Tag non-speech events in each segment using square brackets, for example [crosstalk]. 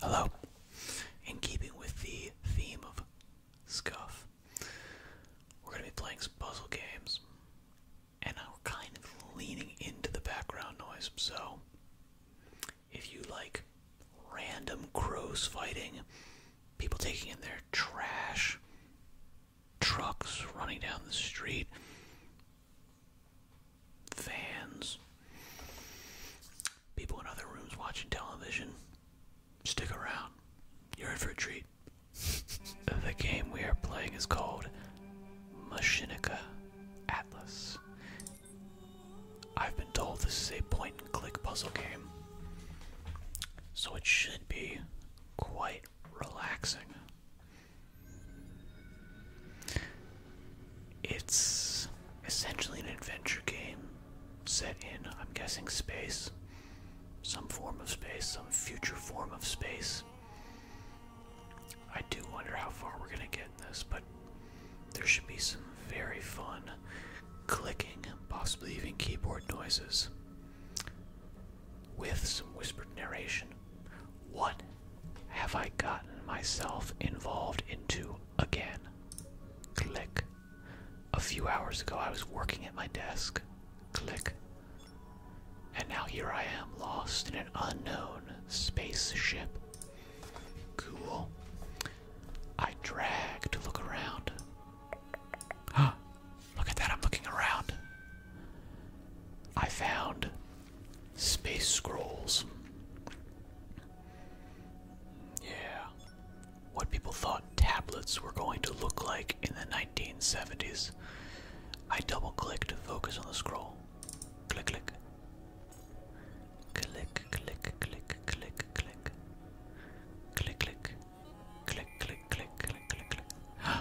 Hello. In keeping with the theme of scuff, we're going to be playing some puzzle games, and I'm kind of leaning into the background noise. So, if you like random crows fighting, people taking in their trash, trucks running down the street, fans, people in other rooms watching television. Stick around. You're in for a treat. [laughs] the game we are playing is called Machinica Atlas. I've been told this is a point and click puzzle game, so it should be quite relaxing. It's essentially an adventure game set in, I'm guessing, space. Some form of space, some future form of space. I do wonder how far we're going to get in this, but there should be some very fun clicking, possibly even keyboard noises, with some whispered narration. What have I gotten myself involved into? again. Click. A few hours ago, I was working at my desk. Click. And now here I am, lost in an unknown spaceship. Cool. I drag to look around. Huh. [gasps] Look at that, I'm looking around. I found space scrolls. Yeah. What people thought tablets were going to look like in the 1970s. I double click to focus on the scroll. Click, click. Click, click, click, click, click. Click, click. Click, click, click, click, click, click. [gasps]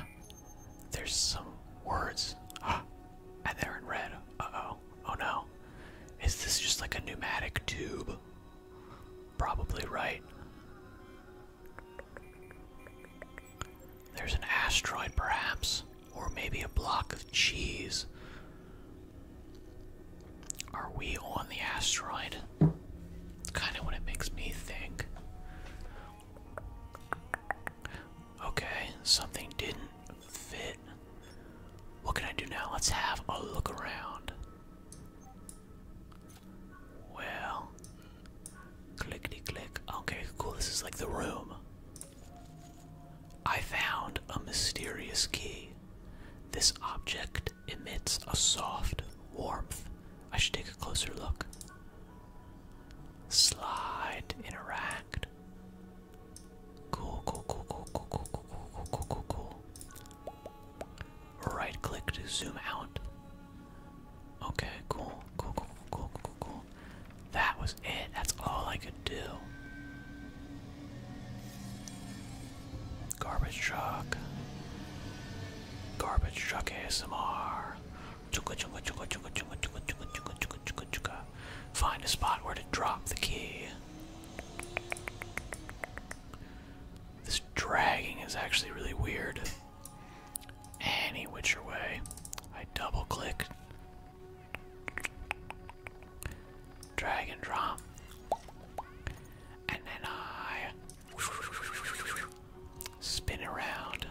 There's some words. [gasps] and they're in red. Uh oh. Oh no. Is this just like a pneumatic tube? Probably right. There's an asteroid, perhaps, or maybe a block of cheese. Are we on the asteroid? kind of what it makes me think. Okay, something didn't fit. What can I do now? Let's have a look around. Well, clickety click. Okay, cool. This is like the room. I found a mysterious key. This object emits a soft warmth. I should take a closer look. Slide, interact. Cool, cool, cool, cool, cool, cool, cool, cool, cool, cool, cool. Right click to zoom out. Okay, cool, cool, cool, cool, cool, cool. That was it. That's all I could do. Garbage truck. Garbage truck ASMR. Chugga chugga chugga chugga chugga chugga chugga chugga chugga chugga find a spot where to drop the key. This dragging is actually really weird. Any which way. I double click. Drag and drop. And then I spin around.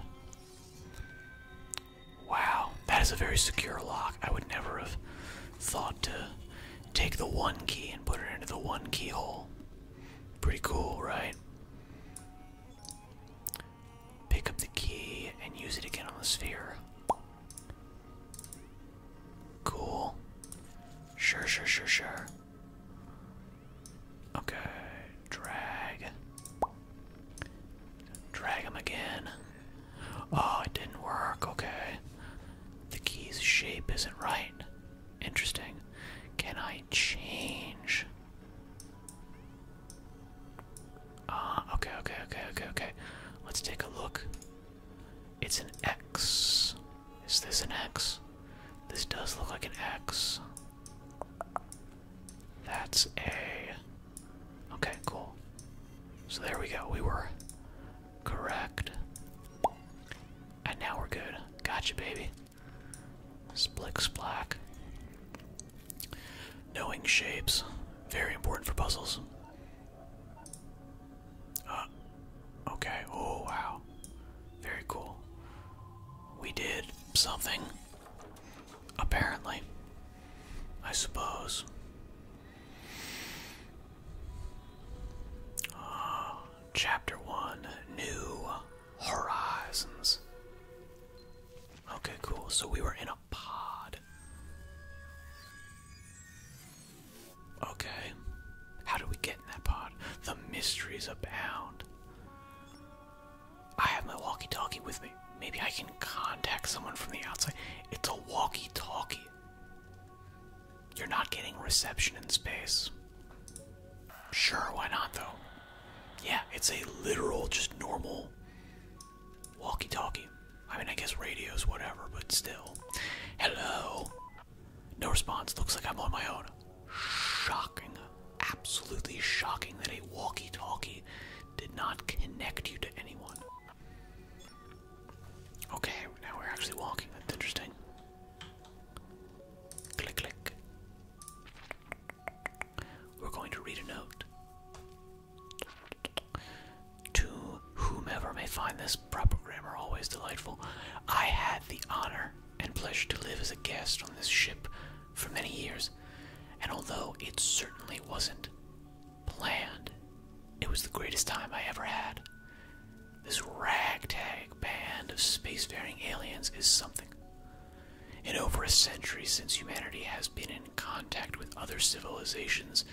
Wow, that is a very secure lock. I would never have thought to take the one key and put it into the one keyhole. Pretty cool, right? Pick up the key and use it again on the sphere. Cool. Sure, sure, sure, sure. Okay, drag. Drag him again. Oh, it didn't work. Okay. The key's shape isn't right. Interesting. Can I change? Ah, okay, okay, okay, okay, okay. Let's take a look. It's an X. Is this an X? This does look like an X. That's a. Okay, cool. So there we go. We were Correct. And now we're good. Gotcha, baby. Splick splack. Knowing shapes. Very important for puzzles. Uh, okay. Oh, wow. Very cool. We did something. Apparently. I suppose. [gasps] chapter 1 New Horizons. Okay, cool. So we were in a pod. Okay. How do we get in that pod? The mysteries abound. I have my walkie talkie with me. Maybe I can contact someone from the outside. It's a walkie talkie. You're not getting reception in space. Sure, why not though? Yeah, it's a literal, just normal walkie talkie. I mean, I guess radios, whatever, but still. Hello? No response. Looks like I'm on my own. Shocking. Absolutely shocking that a walkie talkie did not connect you to anyone. Okay, now we're actually walking. That's interesting. Click, click. We're going to read a note. To whomever may find this proper grammar always delightful, I had the honor and pleasure to live as a guest on this ship for many years, and although it certainly wasn't planned. It was the greatest time I ever had. This ragtag band of spacefaring aliens is something. In over a century since humanity has been in contact with other civilizations,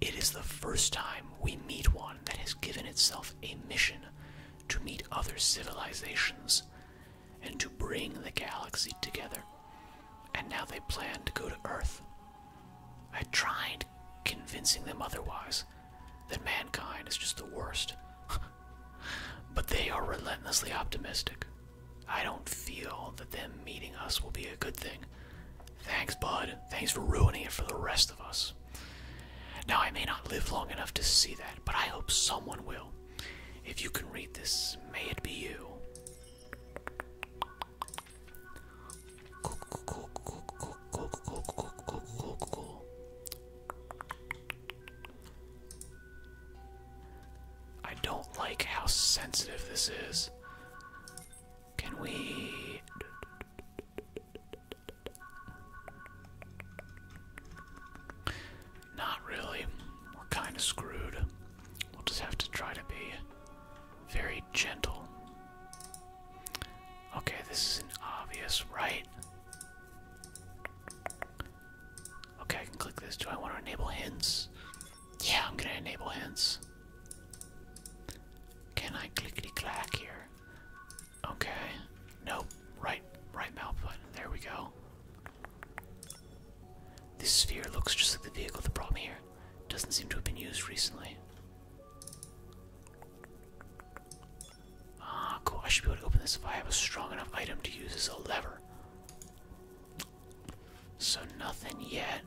it is the first time we meet one that has given itself a mission to meet other civilizations and to bring the galaxy together. And now they plan to go to Earth. I tried convincing them otherwise that mankind is just the worst. [laughs] but they are relentlessly optimistic. I don't feel that them meeting us will be a good thing. Thanks, bud. Thanks for ruining it for the rest of us. Now, I may not live long enough to see that, but I hope someone will. If you can read this, may it be you. I don't like how sensitive this is. Can we? Not really. We're kind of screwed. We'll just have to try to be very gentle. Okay, this is an obvious, right? Okay, I can click this. Do I want to enable hints? Yeah, I'm gonna enable hints. Can I clickety clack here? Okay. Nope. Right, right mouse button. There we go. This sphere looks just like the vehicle. that brought me here doesn't seem to have been used recently. Ah, cool. I should be able to open this if I have a strong enough item to use as a lever. So, nothing yet.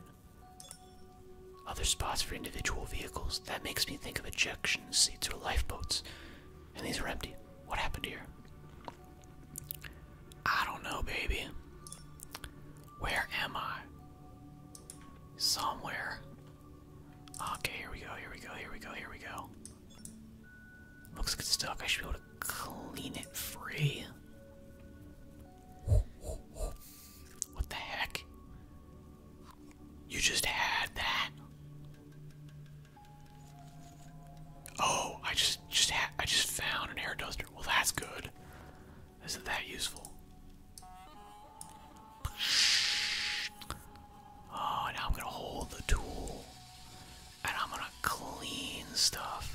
Other spots for individual vehicles. That makes me think of ejection seats or lifeboats. And these are empty. What happened here? I don't know, baby. Where am I? Somewhere. Okay, here we go, here we go, here we go, here we go. Looks like it's stuck. I should be able to clean it free. What the heck? You just had that. Oh, I just just had. I just found an air duster. Well, that's good. Isn't that useful? Oh, now I'm gonna hold the tool and I'm gonna clean stuff.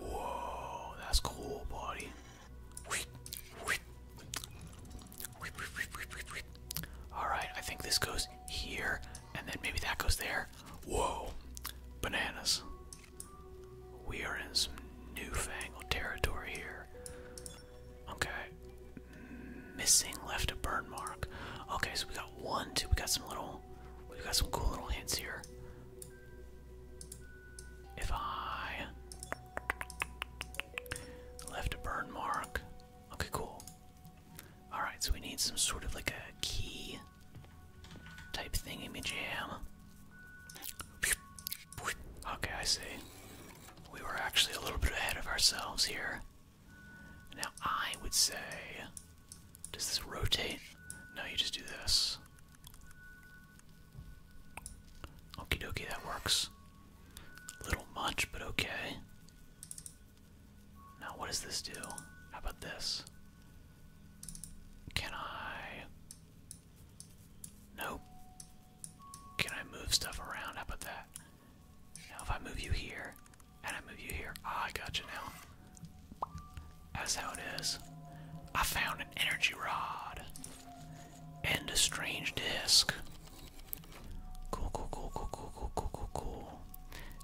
Whoa, that's cool, buddy. Alright, I think this goes here, and then maybe that goes there. Whoa, bananas. We are in some newfangled territory here. Okay. Missing left a burn mark. Okay, so we got one, two. We got some little, we got some cool little hints here. If I left a burn mark. Okay, cool. Alright, so we need some sort of like a key type thingy me jam. Okay, I see. We were actually a little bit ahead of ourselves here. Now, I would say. Does this rotate? No, you just do this. Okie dokie, that works. Little much, but okay. Now, what does this do? How about this? Can I. Nope. Can I move stuff around? How about that? Now, if I move you here, and I move you here, ah, I got you now. That's how it is. I found an energy rod and a strange disc. Cool, cool, cool, cool, cool, cool, cool, cool,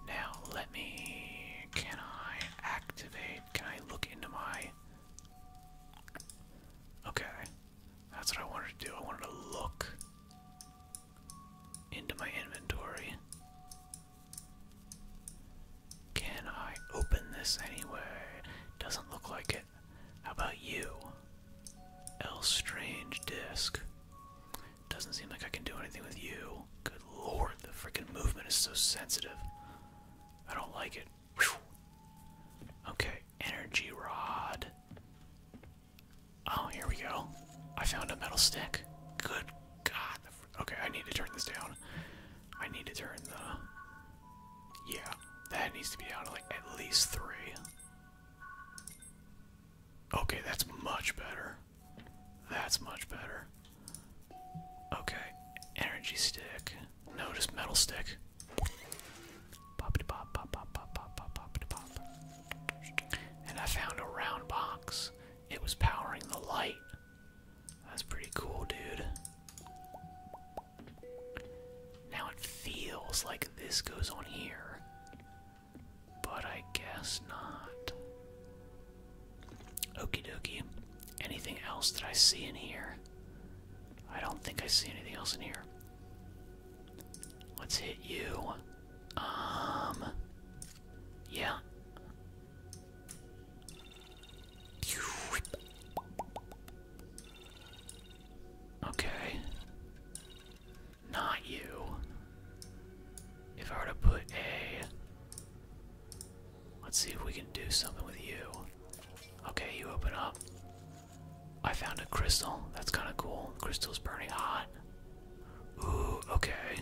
Now, let me. Can I activate? Can I look into my Okay. That's what I wanted to do. I wanted to look into my inventory. Can I open this anyway? Doesn't look like it. How about you? L strange disc. Doesn't seem like I can do anything with you. Good lord, the freaking movement is so sensitive. I don't like it. Okay, energy rod. Oh, here we go. I found a metal stick. Good God. Okay, I need to turn this down. I need to turn the. Yeah, that needs to be down to like at least three. Okay, that's much better. That's much better. Okay, energy stick. No, just metal stick. Pop to pop, pop, pop, pop, pop, pop, pop pop. And I found a round box. It was powering the light. That's pretty cool, dude. Now it feels like this goes on here, but I guess not. Okie dokie. Anything else that I see in here? I don't think I see anything else in here. Let's hit you. Um. Yeah. Okay. Not you. If I were to put a. Let's see if we can do something with you. Okay, you open up. I found a crystal. That's kind of cool. crystal's burning hot. Ooh, okay.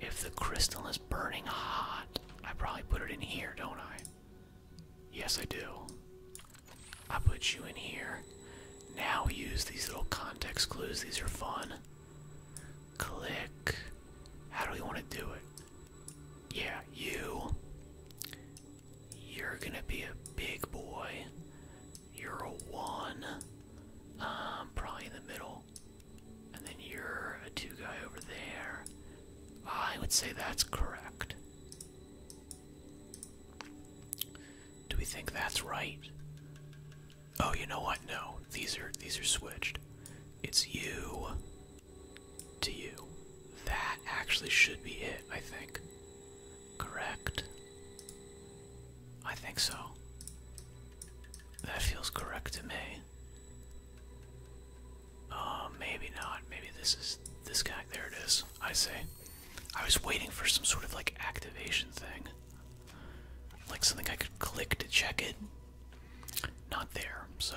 If the crystal is burning hot, I probably put it in here, don't I? Yes, I do. I put you in here. Now we use these little context clues. These are fun. Click. How do we want to do it? Yeah, you. You're gonna be a big boy. You're a one. Um, probably in the middle. And then you're a two guy over there. I would say that's correct. Do we think that's right? Oh, you know what? No, these are these are switched. It's you, to you. That actually should be it, I think. Correct? I think so. That feels correct to me. Uh, maybe not. Maybe this is this guy. There it is. I say. I was waiting for some sort of like activation thing. Like something I could click to check it. Not there, so.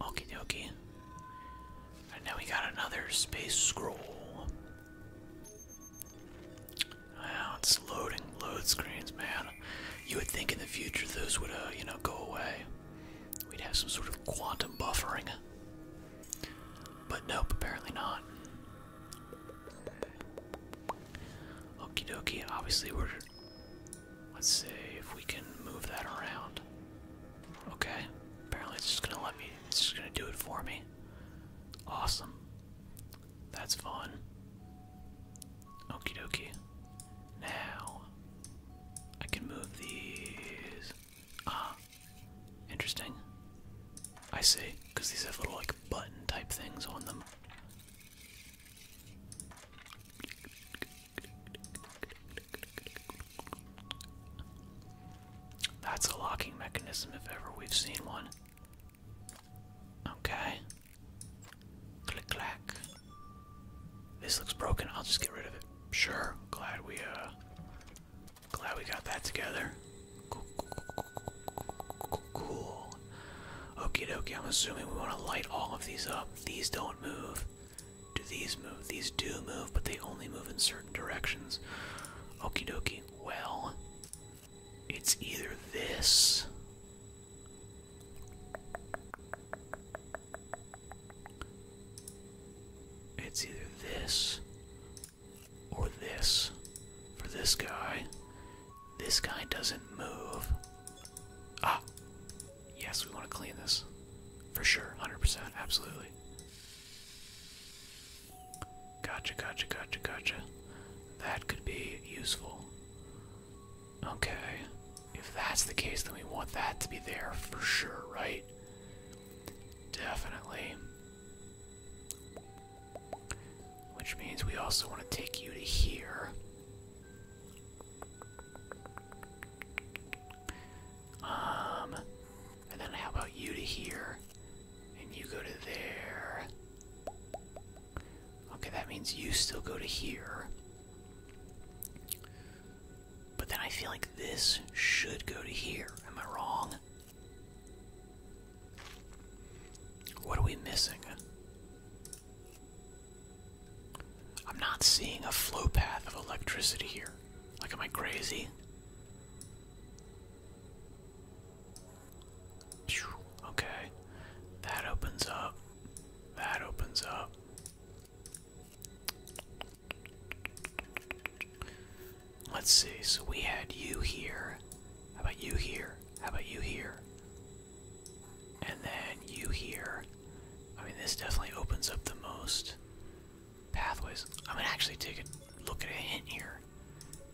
Okie dokie. And now we got another space scroll. Wow, it's loading load screens, man. You would think in the future those would, uh, you know, go away. We'd have some sort of quantum buffering. But nope, apparently not. Okie dokie, obviously we're Let's see if we can move that around. Okay. Apparently it's just gonna let me it's just gonna do it for me. Awesome. That's fun. Okie dokie. Now I can move these. Ah. Interesting. I see, because these have little like button type things on them. That's a locking mechanism if ever we've seen one. Okay. Click clack. This looks broken. I'll just get rid of it. Sure. Glad we uh glad we got that together. Cool. cool. Okie dokie. I'm assuming we want to light all of these up. These don't move. Do these move? These do move, but they only move in certain directions. Okie dokie. Well, it's either this. It's either this or this. For this guy, this guy doesn't move. Ah! Yes, we want to clean this. For sure, 100%, absolutely. Gotcha, gotcha, gotcha, gotcha. That could be useful. Okay. If that's the case, then we want that to be there for sure, right? Definitely. Which means we also want to take you to here. Um, and then how about you to here? And you go to there. Okay, that means you still go to here. But then I feel like this should go to here. Am I wrong? What are we missing? I'm not seeing a flow path of electricity here. Like, am I crazy? Okay. That opens up. That opens up. Let's see. So we had you here. How about you here? How about you here? And then you here. I mean, this definitely opens up the most pathways. I'm gonna actually take a look at a hint here.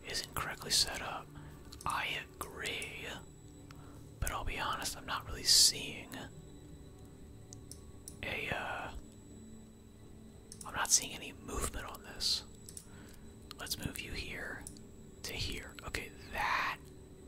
Isn't correctly set up. I agree, but I'll be honest, I'm not really seeing a. Uh, I'm not seeing any movement on this. Let's move you here to here. Okay, that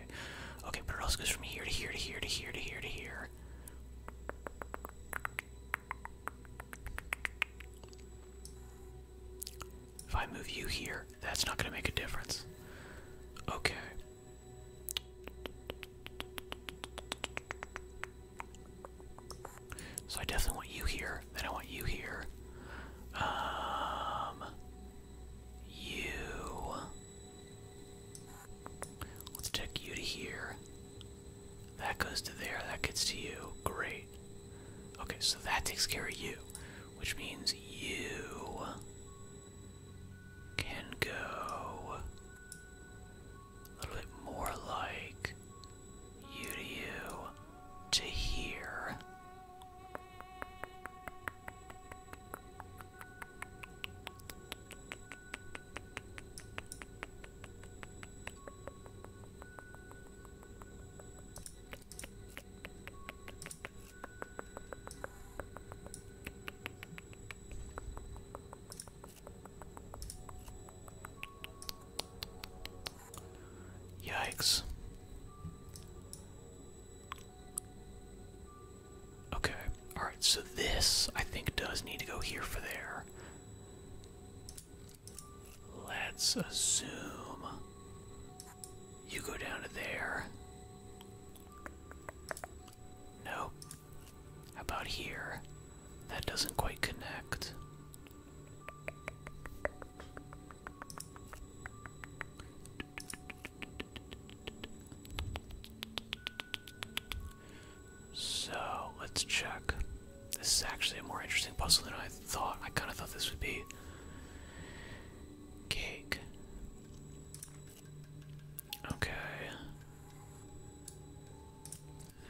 okay. Okay, but it also goes from here to here to here to here to here to here. If I move you here, that's not going to make a difference. Okay. So I definitely want you here, then I want you here. Um, you. Let's take you to here. That goes to there. That gets to you. Great. Okay, so that takes care of you, which means you can go a little bit more like you to you to here. Yikes. Okay. Alright, so this I think does need to go here for there. Let's assume you go down to there. No. How about here? That doesn't quite connect. So let's check. This is actually a more interesting puzzle than I thought. I kind of thought this would be cake. Okay.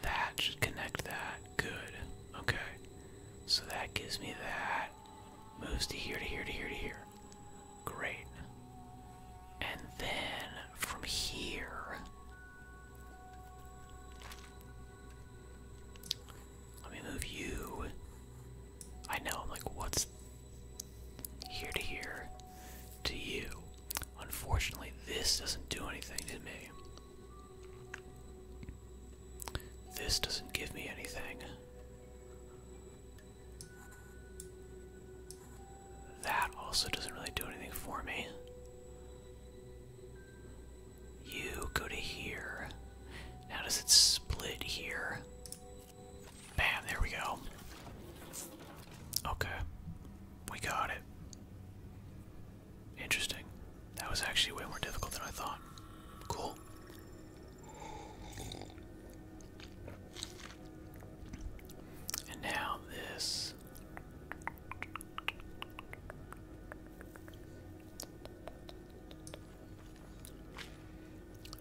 That should connect that. Good. Okay. So that gives me that. Moves to here, to here, to here, to here. Great. And then from here. Let me move you. I know, I'm like, what's here to here to you? Unfortunately, this doesn't do anything to me. This doesn't give me anything. That also doesn't really do anything for me. You go to here. Now, does it split here? Bam, there we go. Okay, we got it. Interesting. That was actually way more difficult than I thought. Cool. And now this.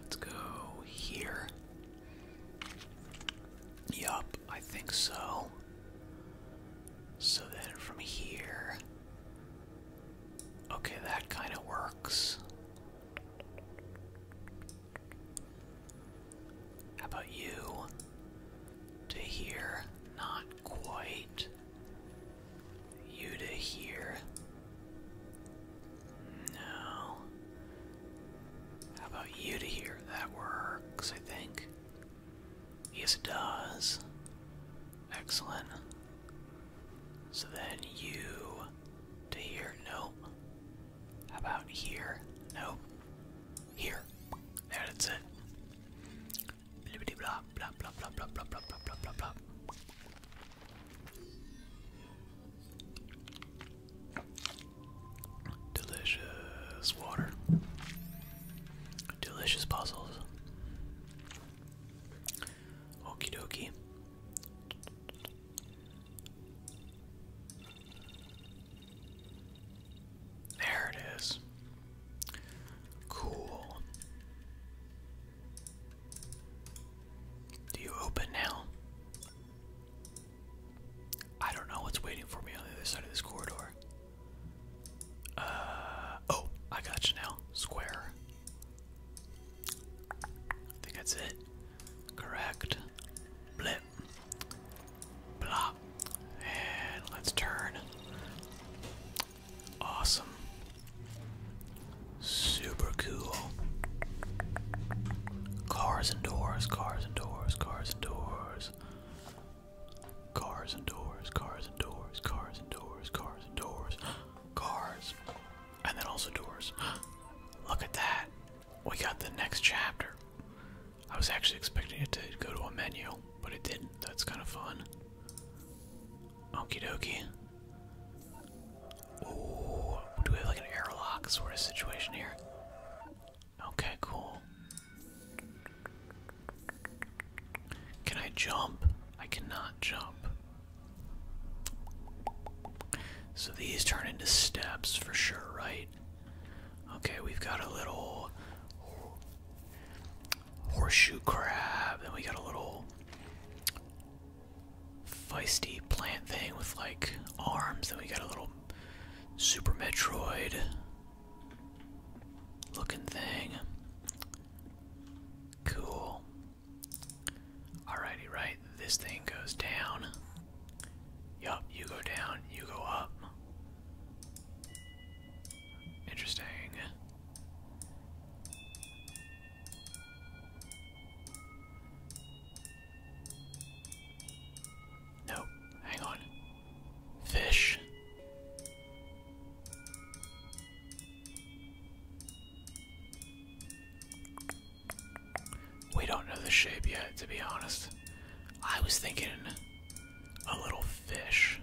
Let's go here. Yup, I think so. So then from here. Okay, that kind of works. How about you? To hear? Not quite. You to here? No. How about you to here? That works, I think. Yes, it does. Excellent. So then you to hear? No about here? No. Here. There, that's it. blah, blah, blah, blah, blah, blah, blah, blah, blah, blah. Delicious water. Delicious puzzles. Okie dokie. There it is. Cool. Do you open now? I don't know what's waiting for me on the other side of this corridor. Uh oh, I got you now. Square. I think that's it. Correct. Blip. Blah. And let's turn. Awesome. Super cool. Cars and doors, cars and doors, cars and doors. Cars and doors, cars and doors, cars and doors, cars and doors. [gasps] Cars. And then also doors. [gasps] Look at that we got the next chapter. I was actually expecting it to go to a menu, but it didn't. That's kind of fun. Okie dokie. Ooh, do we have like an airlock sort of situation here? Okay, cool. Can I jump? I cannot jump. So these turn into steps for sure, right? Okay, we've got a little horseshoe crab, then we got a little feisty plant thing with like arms, then we got a little Super Metroid looking thing. Cool. Alrighty, right. This thing goes down. Yup, you go down, you go up. Interesting. Nope, hang on. Fish. We don't know the shape yet, to be honest. I was thinking a little fish,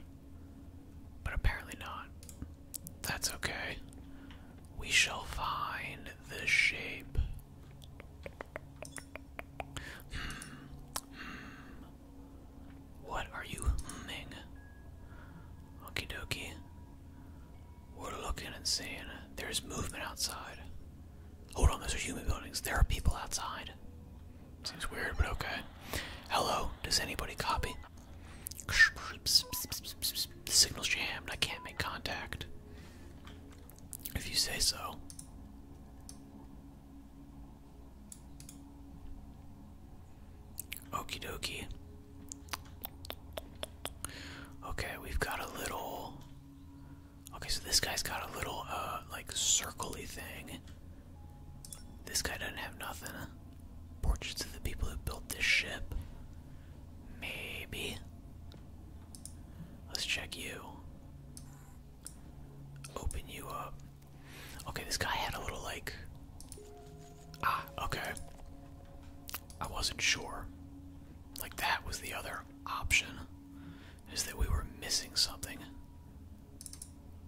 but apparently not. That's okay. We shall find the shape. Hmm, hmm. What are you humming? Okie dokie. We're looking and seeing. There's movement outside. Hold on, those are human buildings. There are people outside. Seems weird, but okay. Hello, does anybody copy? The signal's jammed. I can't make contact. If you say so. Okie dokie. Okay, we've got a little Okay, so this guy's got a little, uh, like, circly thing. This guy doesn't have nothing. Portraits of the people who built this ship. Maybe. Let's check you. Open you up. Okay, this guy had a little, like. Ah, okay. I wasn't sure. Like, that was the other option is that we were missing something.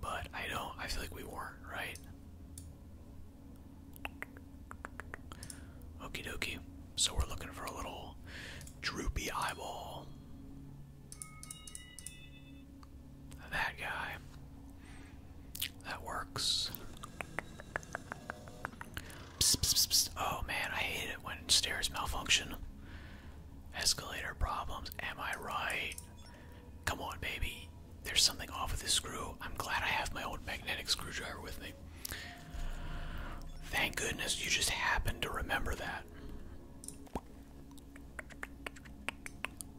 But I don't, I feel like we weren't, right? Okie dokie. So we're looking for a little droopy eyeball. That guy. That works. Oh man, I hate it when stairs malfunction. Escalator problems, am I right? Come on, baby. There's something off with this screw. I'm glad I have my old magnetic screwdriver with me. Thank goodness you just happened to remember that.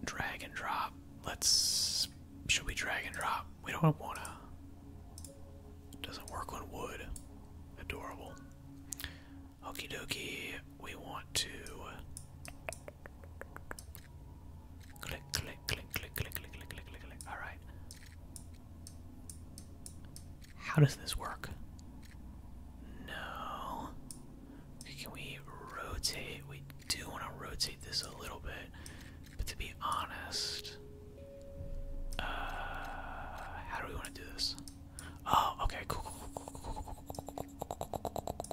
Drag and drop. Let's. Should we drag and drop? We don't wanna. Doesn't work on wood. Adorable. Okie dokie, we want to click, click, click, click, click, click, click, click, click, Alright. How does this work? No. can we rotate? We do want to rotate this a little bit. But to be honest, how do we want to do this? Oh, okay, cool, cool, cool, cool, cool, cool, cool,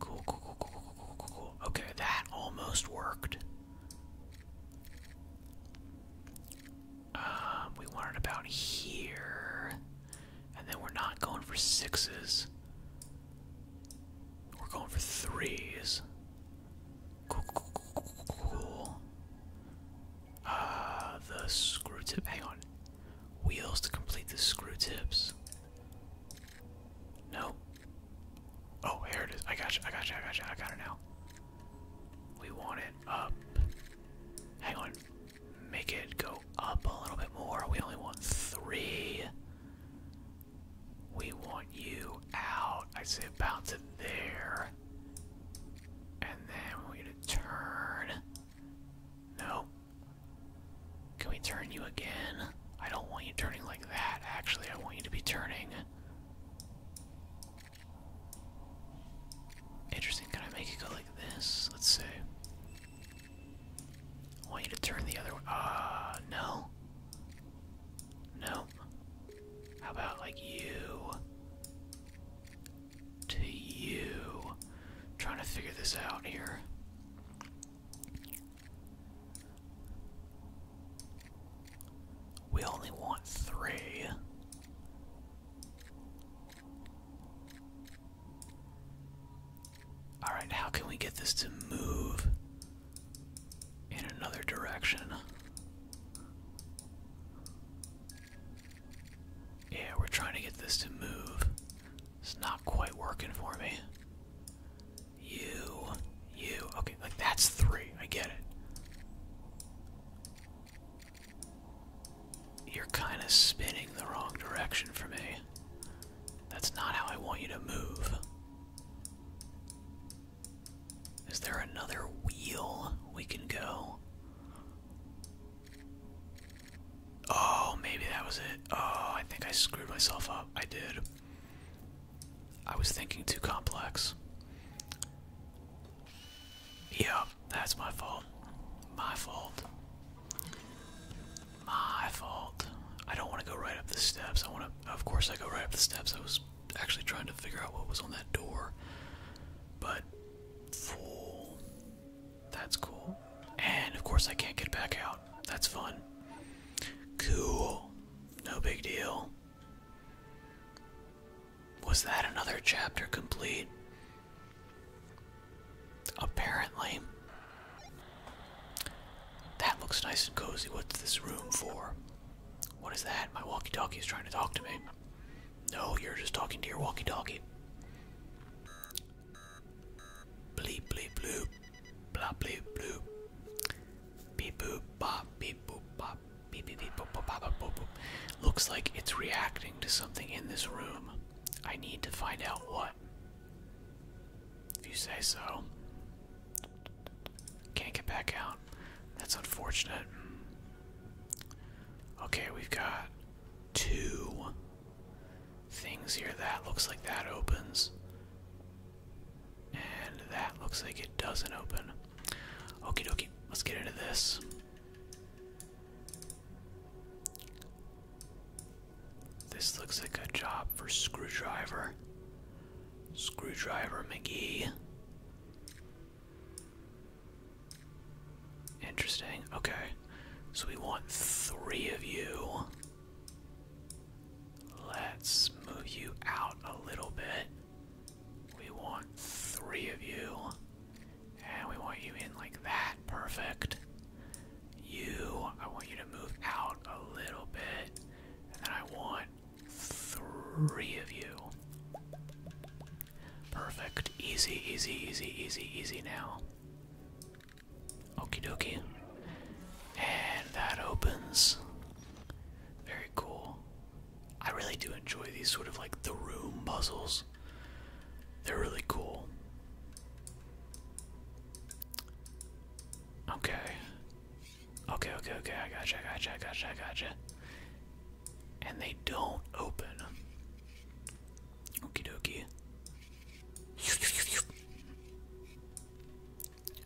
cool, cool, cool, cool. Okay, that almost worked. Um, we want it about here, and then we're not going for sixes. We're going for threes. Ah, the screw tip. Hang on. Wheels to complete the screw tips. No. Oh, here it is. I got you. I got you. I got you. I got it now. We want it up. Hang on. Make it go up a little bit more. We only want three. We want you out. I say bounce it there. And then we're gonna turn. No. Can we turn you again? I don't want you turning like that, actually. I want you to be turning. Interesting, can I make it go like this? Let's see. I want you to turn the other way. Ah, uh, no. No, how about like you to you? trying to figure this out here. We only want three. Alright, how can we get this to move in another direction. Yeah, we're trying to get this to move. It's not quite working for me. You, you. Okay, like that's three. I get it. You're kind of spinning the wrong direction for me. That's not how I want you to move. Is there another wheel we can go? Oh, maybe that was it. Oh, I think I screwed myself up. I did. I was thinking too complex. Yeah, that's my fault. My fault. My fault. I don't want to go right up the steps. I want to, of course, I go right up the steps. I was actually trying to figure out what was on that door. But full. That's cool. And of course, I can't get back out. That's fun. Cool. No big deal. Was that another chapter complete? Apparently. That looks nice and cozy. What's this room for? What is that? My walkie talkie is trying to talk to me. No, you're just talking to your walkie talkie. Bleep, bleep, bloop. Blah, bleep, bloop. Beep, boop, bop, beep, boop, bop. Beep, beep, beep, boop, boop, bop, bop, boop, boop. Looks like it's reacting to something in this room. I need to find out what. If you say so. Can't get back out. That's unfortunate. Okay, we've got two things here. That looks like that opens. And that looks like it doesn't open. Okie dokie, let's get into this. This looks like a job for Screwdriver. Screwdriver McGee. Interesting. Okay. So we want three of you. Let's move you out a little bit. We want three of you. And we want you in like that. Perfect. You, I want you to move out a little bit. And then I want Three of you. Perfect. Easy, easy, easy, easy, easy now. Okie dokie. And that opens. Very cool. I really do enjoy these sort of like the room puzzles. They're really cool. Okay. Okay, okay, okay, I gotcha, I gotcha, I gotcha, I gotcha. And they don't open. Okie dokie.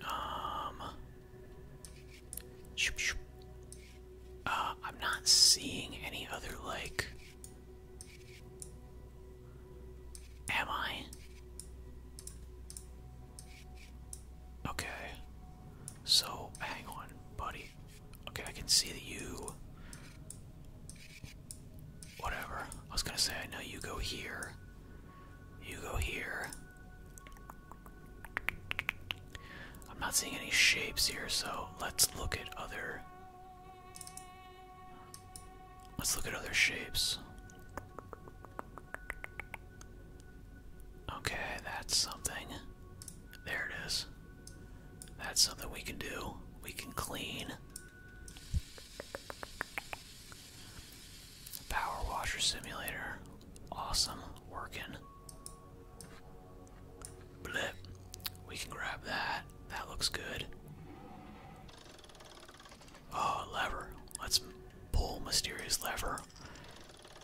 Um. Uh, I'm not seeing any other, like. Am I? Okay. So, hang on, buddy. Okay, I can see that you. Whatever. I was gonna say, I know you go here. You go here. I'm not seeing any shapes here, so let's look at other. Let's look at other shapes. Okay, that's something. There it is. That's something we can do. We can clean. Power washer simulator. Awesome. Working. Blip. We can grab that. That looks good. Oh, lever. Let's pull mysterious lever.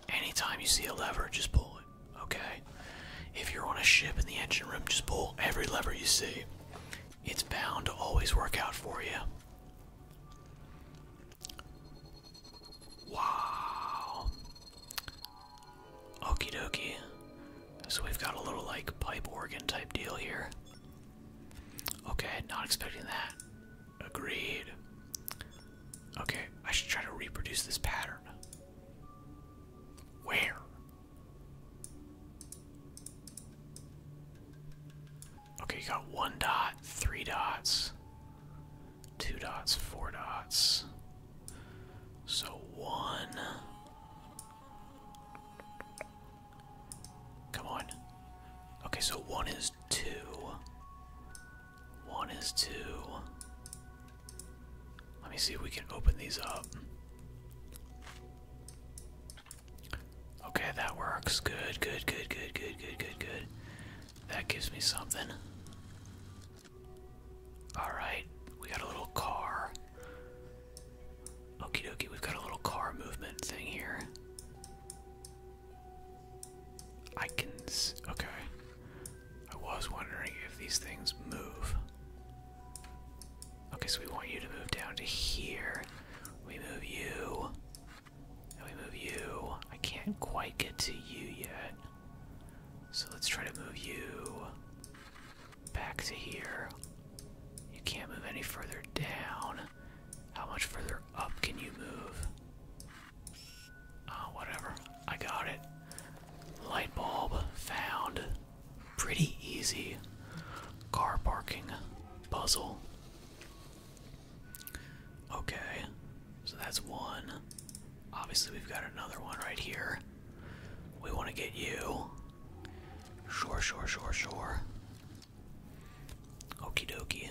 Anytime you see a lever, just pull it, okay? If you're on a ship in the engine room, just pull every lever you see. It's bound to always work out for you. Wow. Okie dokie. So we've got a little like pipe organ type deal here. Okay, not expecting that. Agreed. Okay, I should try to reproduce this pattern. Where? Okay, you got one dot, three dots, two dots, four dots. So one. Come on. Okay, so one is is two. One is two. Let me see if we can open these up. Okay, that works. Good, good, good, good, good, good, good, good. That gives me something. Alright, we got a little car. Okie dokie, we've got a little car movement thing here. I can. okay. I was wondering if these things move. Okay, so we want you to move down to here. We move you. And we move you. I can't quite get to you yet. So let's try to move you back to here. You can't move any further down. How much further up can you move? Oh, whatever. I got it. Light bulb found. Pretty easy. Car parking puzzle. Okay, so that's one. Obviously, we've got another one right here. We want to get you. Sure, sure, sure, sure. Okie dokie.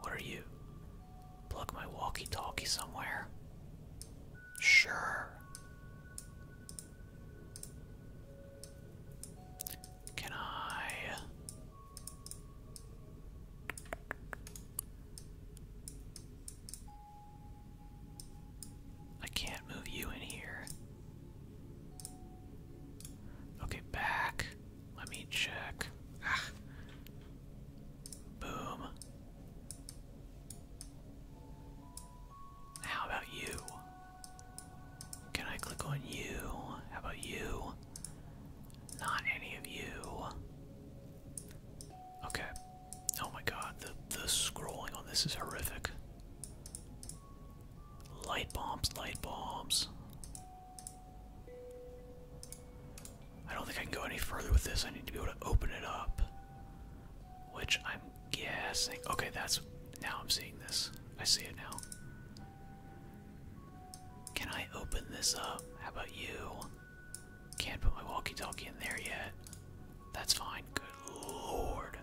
What are you? Plug my walkie talkie somewhere. Sure. Can I. I can't move you in here. Okay, back. Let me check. Ah. Boom. How about you? Can I click on you? How about you? Not any of you. Okay. Oh my god, the, the scrolling on this is horrific. Light bombs, light bombs. I don't think I can go any further with this. I need to be able to open it up. Which I'm guessing. Okay, that's. Now I'm seeing this. I see it now. Can I open this up? How about you? Can't put my walkie talkie in there yet. That's fine. Good lord.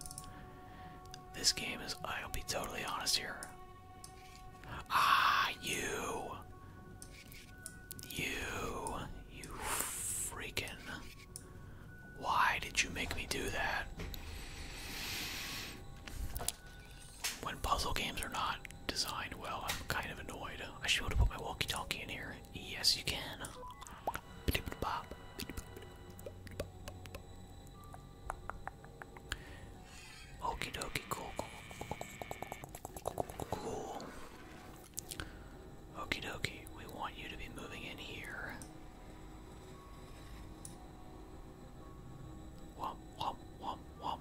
This game is. I'll be totally honest here. Ah, you. You, you freaking. Why did you make me do that? When puzzle games are not designed well, I'm kind of annoyed. I should have put my walkie talkie in here. Yes, you can. Okie dokie, cool, cool, cool, cool, cool, cool, Cool. Okie we want you to be moving in here. Womp, womp, womp, womp.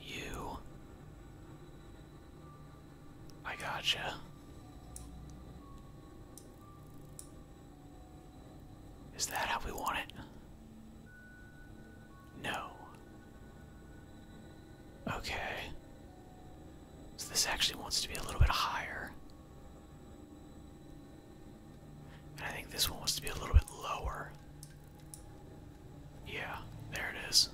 You. I gotcha. Is that how we want it? No. Okay. So this actually wants to be a little bit higher. I think this one wants to be a little bit lower. Yeah, there it is.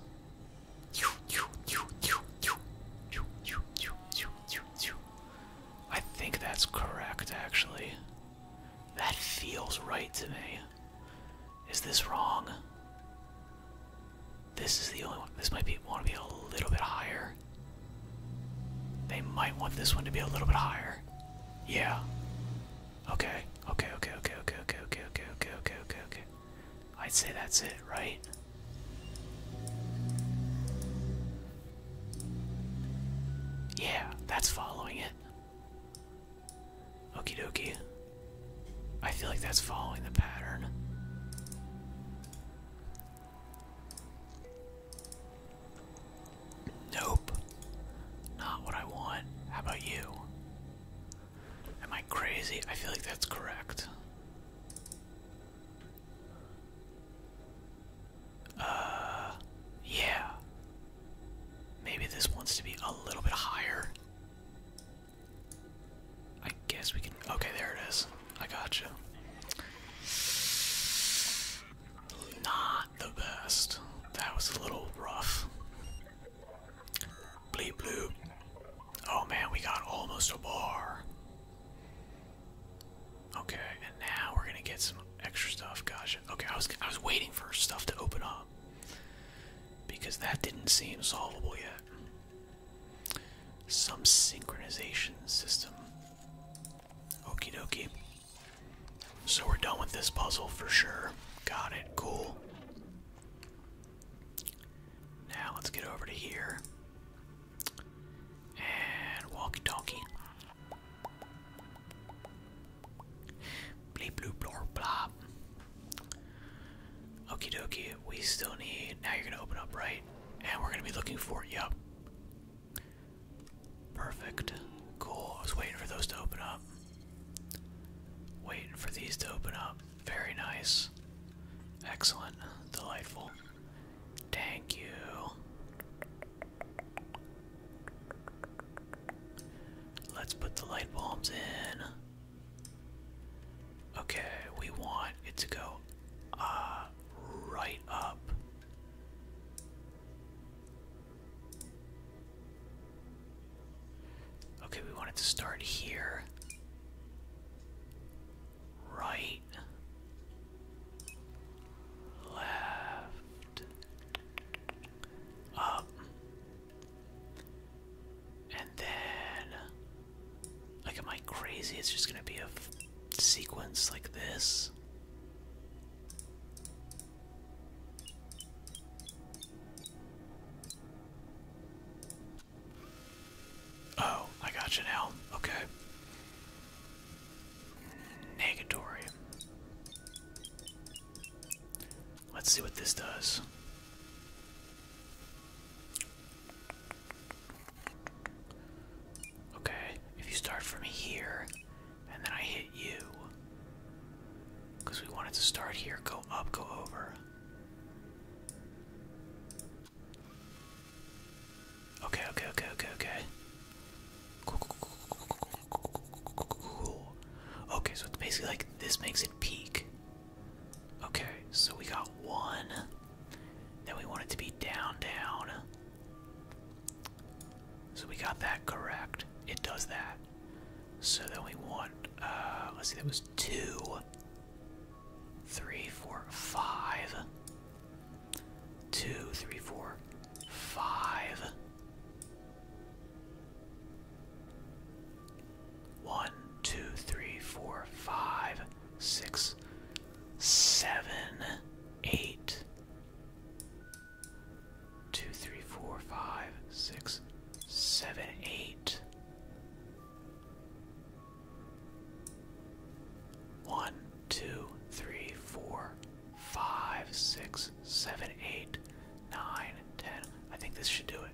I think that's correct, actually. That feels right to me. Is this wrong? This is the only one. This might be want to be a little bit higher. They might want this one to be a little bit higher. Yeah. Okay. Okay. Okay. Okay. Okay. Okay. Okay. Okay. Okay. Okay. Okay. Okay. I'd say that's it, right? Yeah, that's following it. Okie dokie. I feel like that's following the pattern. Nope. Not what I want. How about you? Am I crazy? I feel like that's correct. Uh, yeah. Maybe this wants to be a little bit higher. I guess we can. Okay, there it is. I gotcha. Not the best. That was a little rough. Bleep bloop. Oh man, we got almost a bar. Okay, and now we're gonna get some extra stuff. Gosh, Okay, I was I was waiting for stuff to open up because that didn't seem solvable yet. Some synchronization system. Okey-dokey. So we're done with this puzzle for sure. Got it. Cool. Now let's get over to here. And walkie talkie. Bleep bloop blor blop. Okie dokie, we still need. Now you're gonna open up, right? And we're gonna be looking for it, yep. Perfect. Cool. I was waiting for those to open up. Waiting for these to open up. Very nice. Excellent. Delightful. Thank you. Let's put the light bulbs in. Okay, we want it to go uh, right up. Okay, we want it to start here. Right. Left up. Um, and then, am I crazy? It's just gonna be a sequence like this. Oh, I got you now. Okay. Negatory. Let's see what this does. Okay, if you start from here, and then I hit you. Because we wanted to start here, go up, go over. Okay, okay, okay, okay, okay. Okay, so it's basically like this makes it peak. Okay, so we got one. Then we want it to be down, down. So we got that correct. It does that. So then we want, uh, let's see, that was two, three, four, five, two, three, four, five. One, two, three, four, five, six, seven, eight. Two, three, four, five, six, seven, eight. One, two, three, four, five, six, seven, eight, nine, ten. I think this should do it.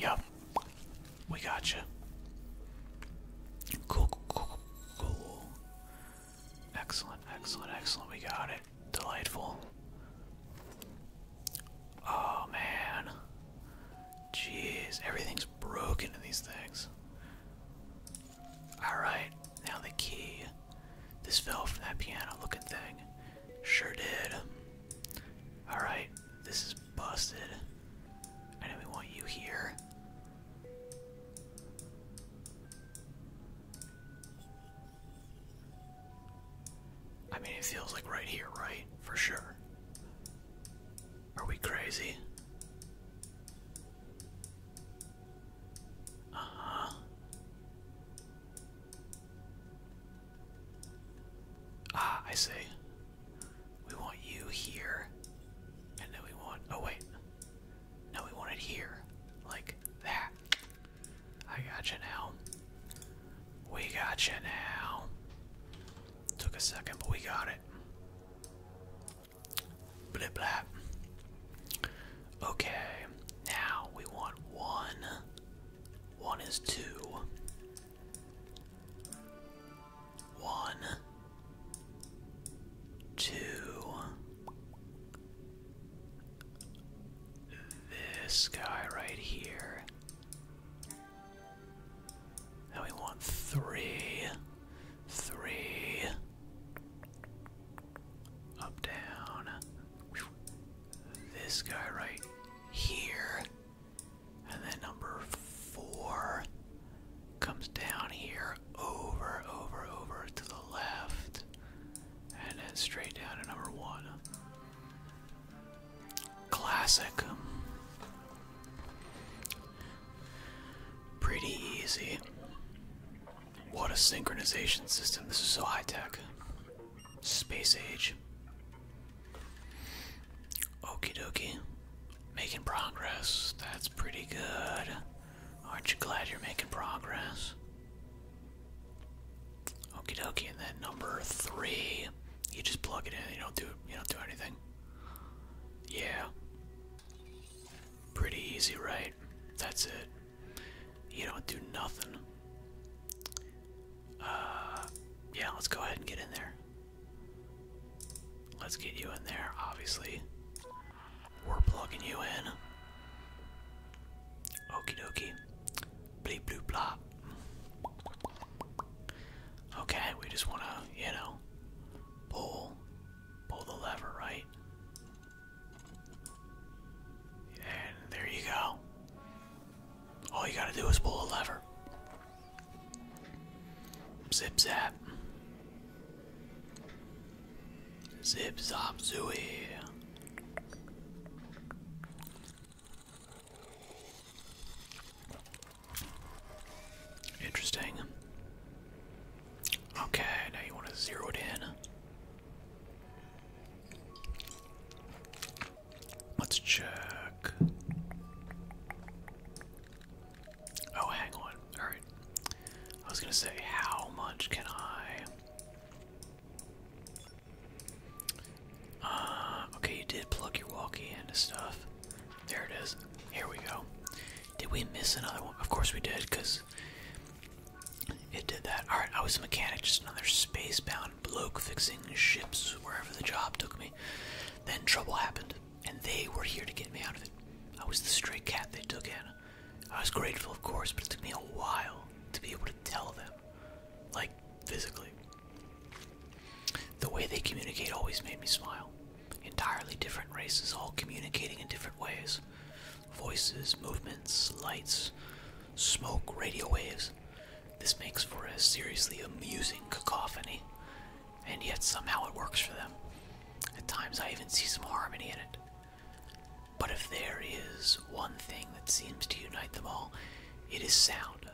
Yup, we got you. Cool, cool, cool, cool. Excellent, excellent, excellent. We got it. Delightful. Oh man. Jeez, everything's broken in these things. Alright, now the key. This fell from that piano looking thing. Sure did. Alright, this is busted. I know we want you here. I mean, it feels like right here, right? For sure. Are we crazy? uh Ah, I see. We want you here. And then we want oh wait. No, we want it here. Like that. I got you now. We got you now. Took a second, but we got it. Blah blah. Okay, now we want one. One is two. One. Two. This guy right here. And we want three. Three. Up, down. This guy right here. And then number four comes down here, over, over, over to the left. And then straight down to number one. Classic. Pretty easy. What a synchronization system. This is so high tech. Space age. Okie dokie. Making progress. That's pretty good. Aren't you glad you're making progress? Okie dokie, and then number three. You just plug it in, you don't do you don't do anything. Yeah. Pretty easy, right? That's it. You don't do nothing. Uh, yeah, let's go ahead and get in there. Let's get you in there, obviously. We're plugging you in. Okie dokie. Bleep blop. Okay, we just wanna, you know, pull Pull the lever, right? And there you go. All you gotta do is pull a lever. Zip zap. Zip zap zooey. Interesting. Okay, now you want to zero it in. Let's check. Oh, hang on. Alright. I was going to say, how much can I. Uh, okay, you did plug your walkie into stuff. There it is. Here we go. Did we miss another one? Of course we did, because it did that. Alright, I was a mechanic, just another spacebound bloke fixing ships wherever the job took me. Then trouble happened, and they were here to get me out of it. I was the stray cat they took in. I was grateful, of course, but it took me a while to be able to tell them. Like, physically. The way they communicate always made me smile. Entirely different races, all communicating in different ways. Voices, movements, lights, smoke, radio waves. This makes for a seriously amusing cacophony, and yet somehow it works for them. At times I even see some harmony in it. But if there is one thing that seems to unite them all, it is sound.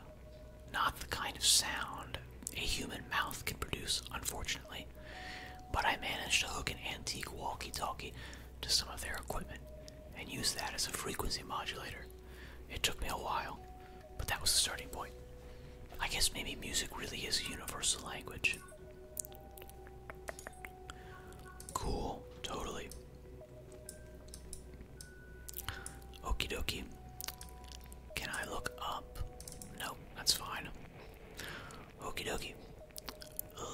Not the kind of sound a human mouth can produce, unfortunately. But I managed to hook an antique walkie talkie to some of their equipment and use that as a frequency modulator. It took me a while, but that was the starting point. I guess maybe music really is a universal language. Cool, totally. okey dokie. Can I look up? No, that's fine. Okie dokie.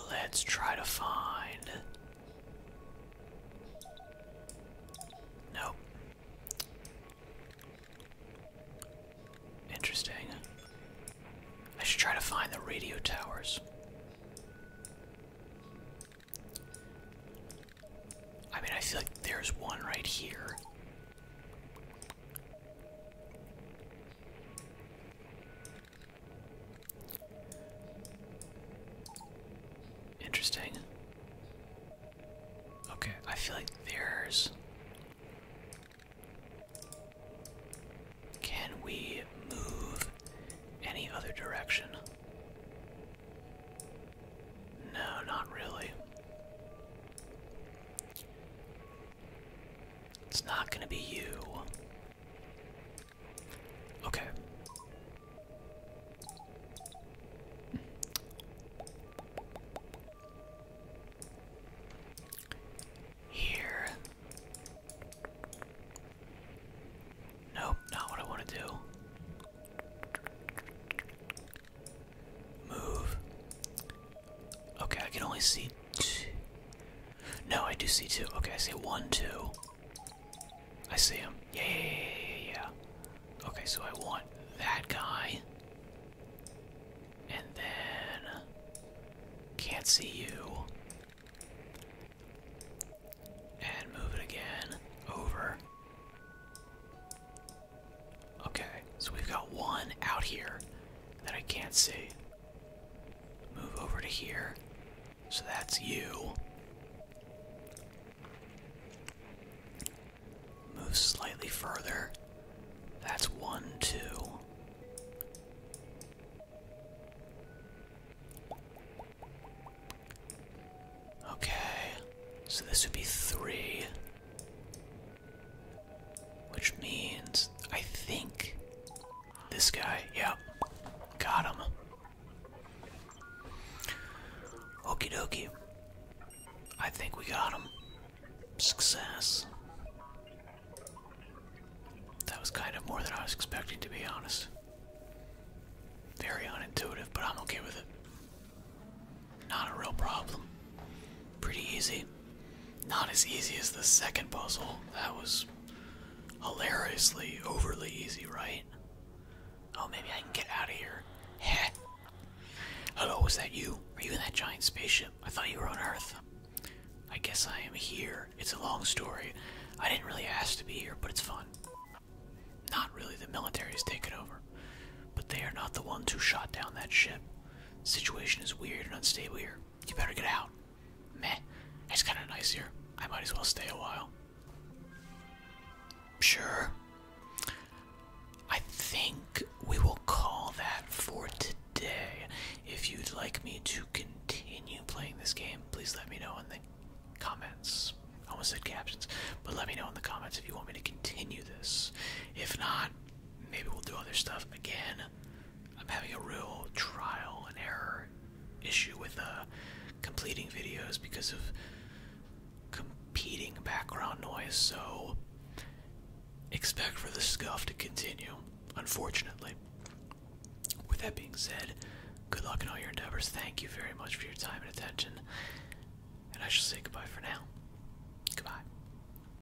Let's try to find. Nope. Interesting. I should try to find the radio towers. I mean, I feel like there's one right here. Interesting. Okay, I feel like there's. Can we move any other direction? No, not really. It's not gonna be you. Okay. Here. Nope, not what I want to do. Move. Okay, I can only see two. No, I do see two. Okay, I see one, two. I see him. Yeah, Okay, so I want that guy. And then. Can't see you. And move it again. Over. Okay, so we've got one out here that I can't see. Move over to here. So that's you. Move slightly further. That's one, two. Okay, so this would be three. Which means, I think, this guy, yeah, got him. Okey dokey. I think we got him. Success. That was kind of more than I was expecting, to be honest. Very unintuitive, but I'm okay with it. Not a real problem. Pretty easy. Not as easy as the second puzzle. That was hilariously overly easy, right? Oh, maybe I can get out of here. Hello, is that you? Are you in that giant spaceship? I thought you were on Earth. I guess I am here. It's a long story. I didn't really ask to be here, but it's fun. Not really, the military has taken over. But they are not the ones who shot down that ship. The situation is weird and unstable here. You better get out. Meh, it's kinda nice here. I might as well stay a while. Sure. I think we will call that for today. If you'd like me to continue playing this game, please let me know in the comments. I almost said captions, but let me know in the comments if you want me to continue this. If not, maybe we'll do other stuff again. I'm having a real trial and error issue with uh, completing videos because of competing background noise, so expect for the scuff to continue, unfortunately. With that being said, good luck in all your endeavors. Thank you very much for your time and attention, and I shall say goodbye for now. Goodbye.